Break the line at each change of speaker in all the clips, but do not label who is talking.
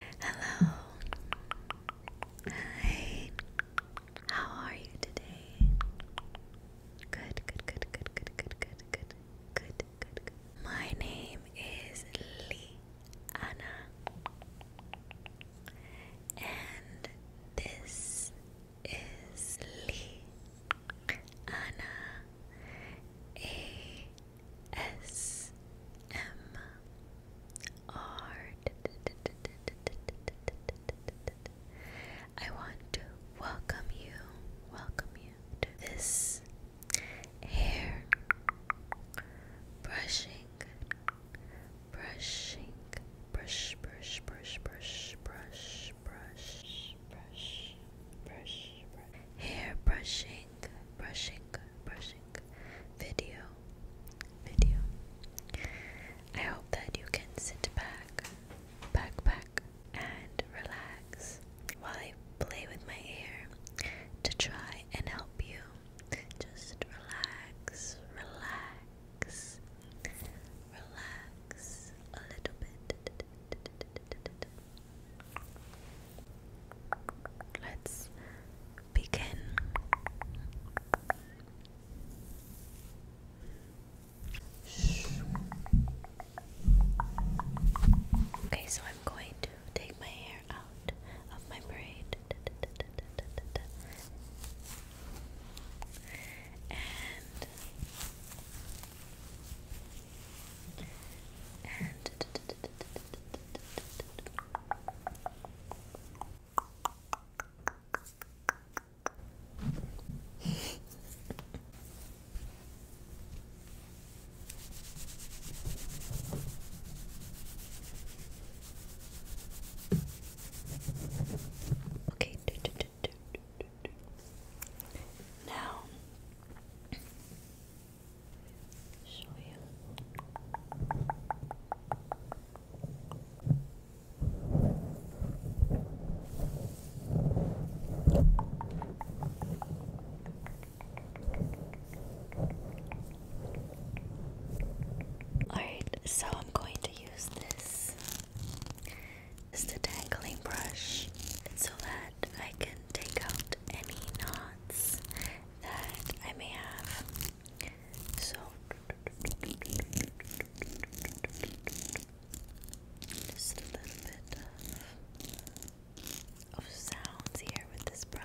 Hello. Hi. How are you today? Good, good, good, good, good, good, good, good, good, My name is Lee Anna. And this is Lee Anna A S M R. I want to welcome you, welcome you to this hair brushing, brushing, brush, brush, brush, brush, brush, brush, brush, brush, brush, hair brushing brushing, brushing, video, video. I hope that you can sit back, back, back, and relax while I play with my hair to try and help you. Just relax, relax, relax a little bit. Let's begin. Okay, so I'm going to take my hair out of my braid and and okay. Do, do, do, do, do, do. Now Alright, so I'm going to use this. It's a tangling brush so that I can take out any knots that I may have. So just a little bit of, of sounds here with this brush.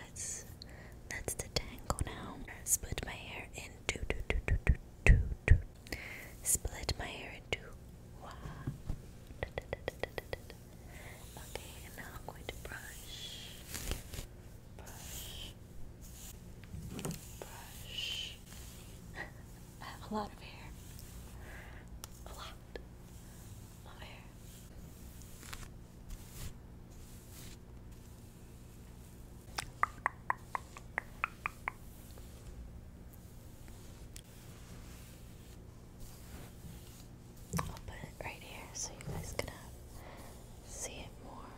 Let's let's detangle now. Split my hair in two, two, two, two, two, two, two. Split my hair in two. Wow. Da, da, da, da, da, Okay, now I'm going to brush, brush, brush. I have a lot of hair. A lot of hair. I'll put it right here so you guys can see it more.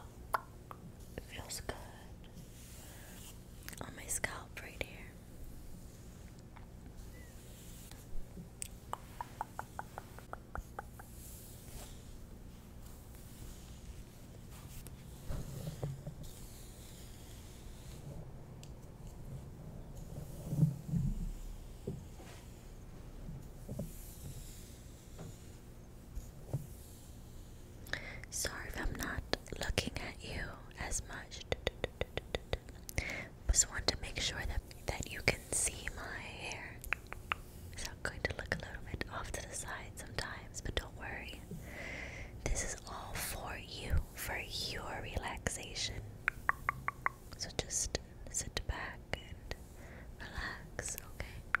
feels good on my scalp right here. Sorry if I'm not looking at you as much. Just want to make sure that that you can see my hair. So going to look a little bit off to the side sometimes, but don't worry. This is all for you, for your relaxation. So just sit back and relax, okay?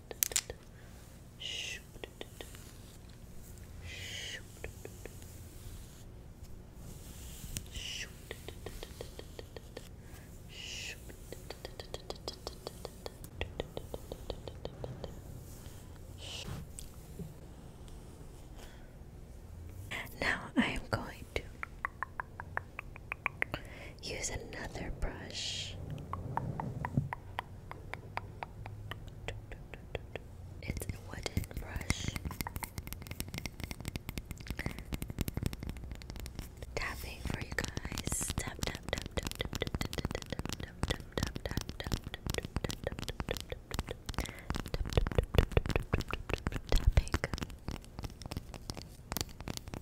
Now I am going to use another brush. It's a wooden brush. Tapping for you guys. Tap tap tap tap tap tap tap tap tap tap tap tap tap Tapping.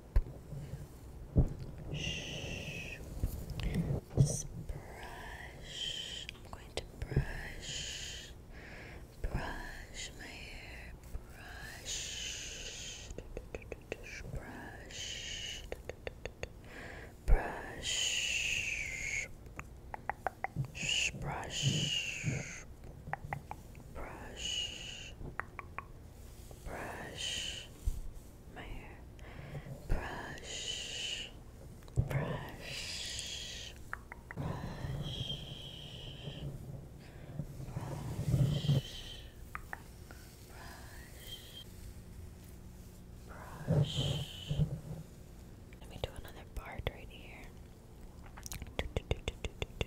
Just brush. I'm going to brush, brush my hair, brush, brush, brush, brush, brush, brush my hair, brush, brush, brush, brush. Brush, brush. Let me do another part right here. Do, do, do, do, do, do.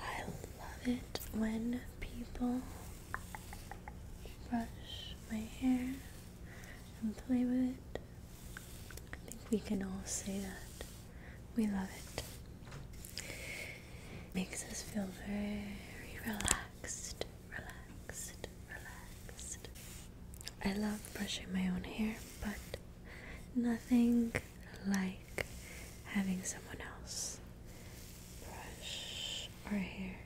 I love it when people brush my hair and play with it I think we can all say that. We love it. Makes us feel very relaxed, relaxed, relaxed. I love brushing my own hair, but nothing like having someone else brush our hair.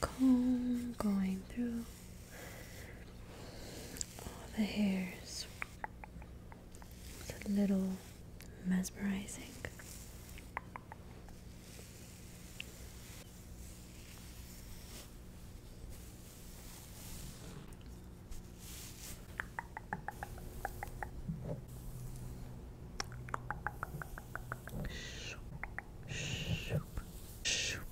comb going through all the hairs. It's a little mesmerizing. Shoop, shoop, shoop,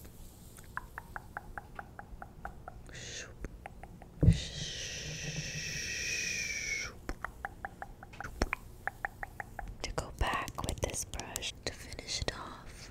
to go back with this brush to finish it off.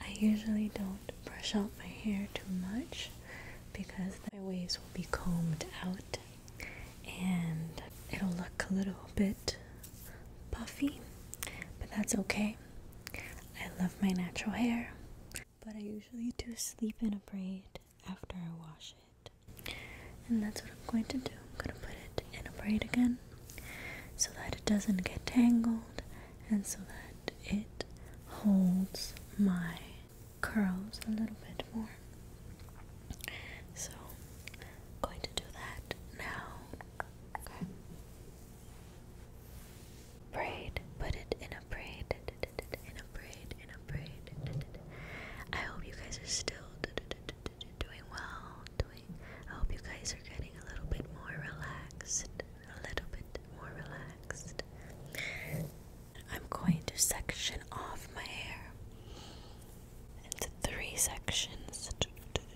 I usually don't brush out my hair too much because my waves will be combed out and it'll look a little bit puffy, but that's okay. I love my natural hair, but I usually do sleep in a braid after I wash it. And that's what I'm going to do. I'm going to put it in a braid again so that it doesn't get tangled and so that it holds my curls a little bit more. So going to do that now. Okay. Braid, put it in a braid. I hope you guys are still doing well. Doing. I hope you guys are getting a little bit more relaxed. A little bit more relaxed. I'm going to section off my hair into three sections.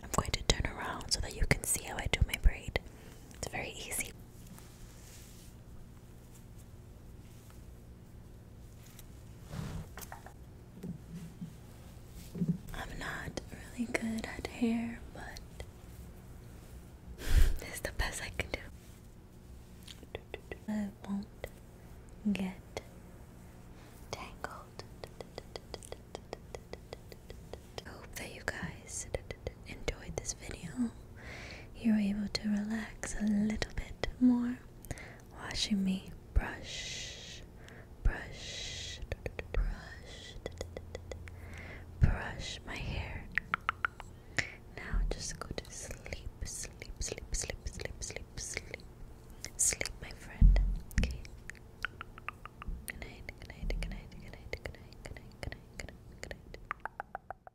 I'm going to turn around so that you can see how I do my braid. It's very easy. I'm not really good at hair, but this is the best I can do. I won't get tangled. I hope you guys enjoyed this video you're able to relax a little bit more watching me brush, brush, brush, brush my hair. Now just go to sleep, sleep, sleep, sleep, sleep, sleep, sleep, sleep, my friend. Okay. Good night. Good night. Good night. Good night. Good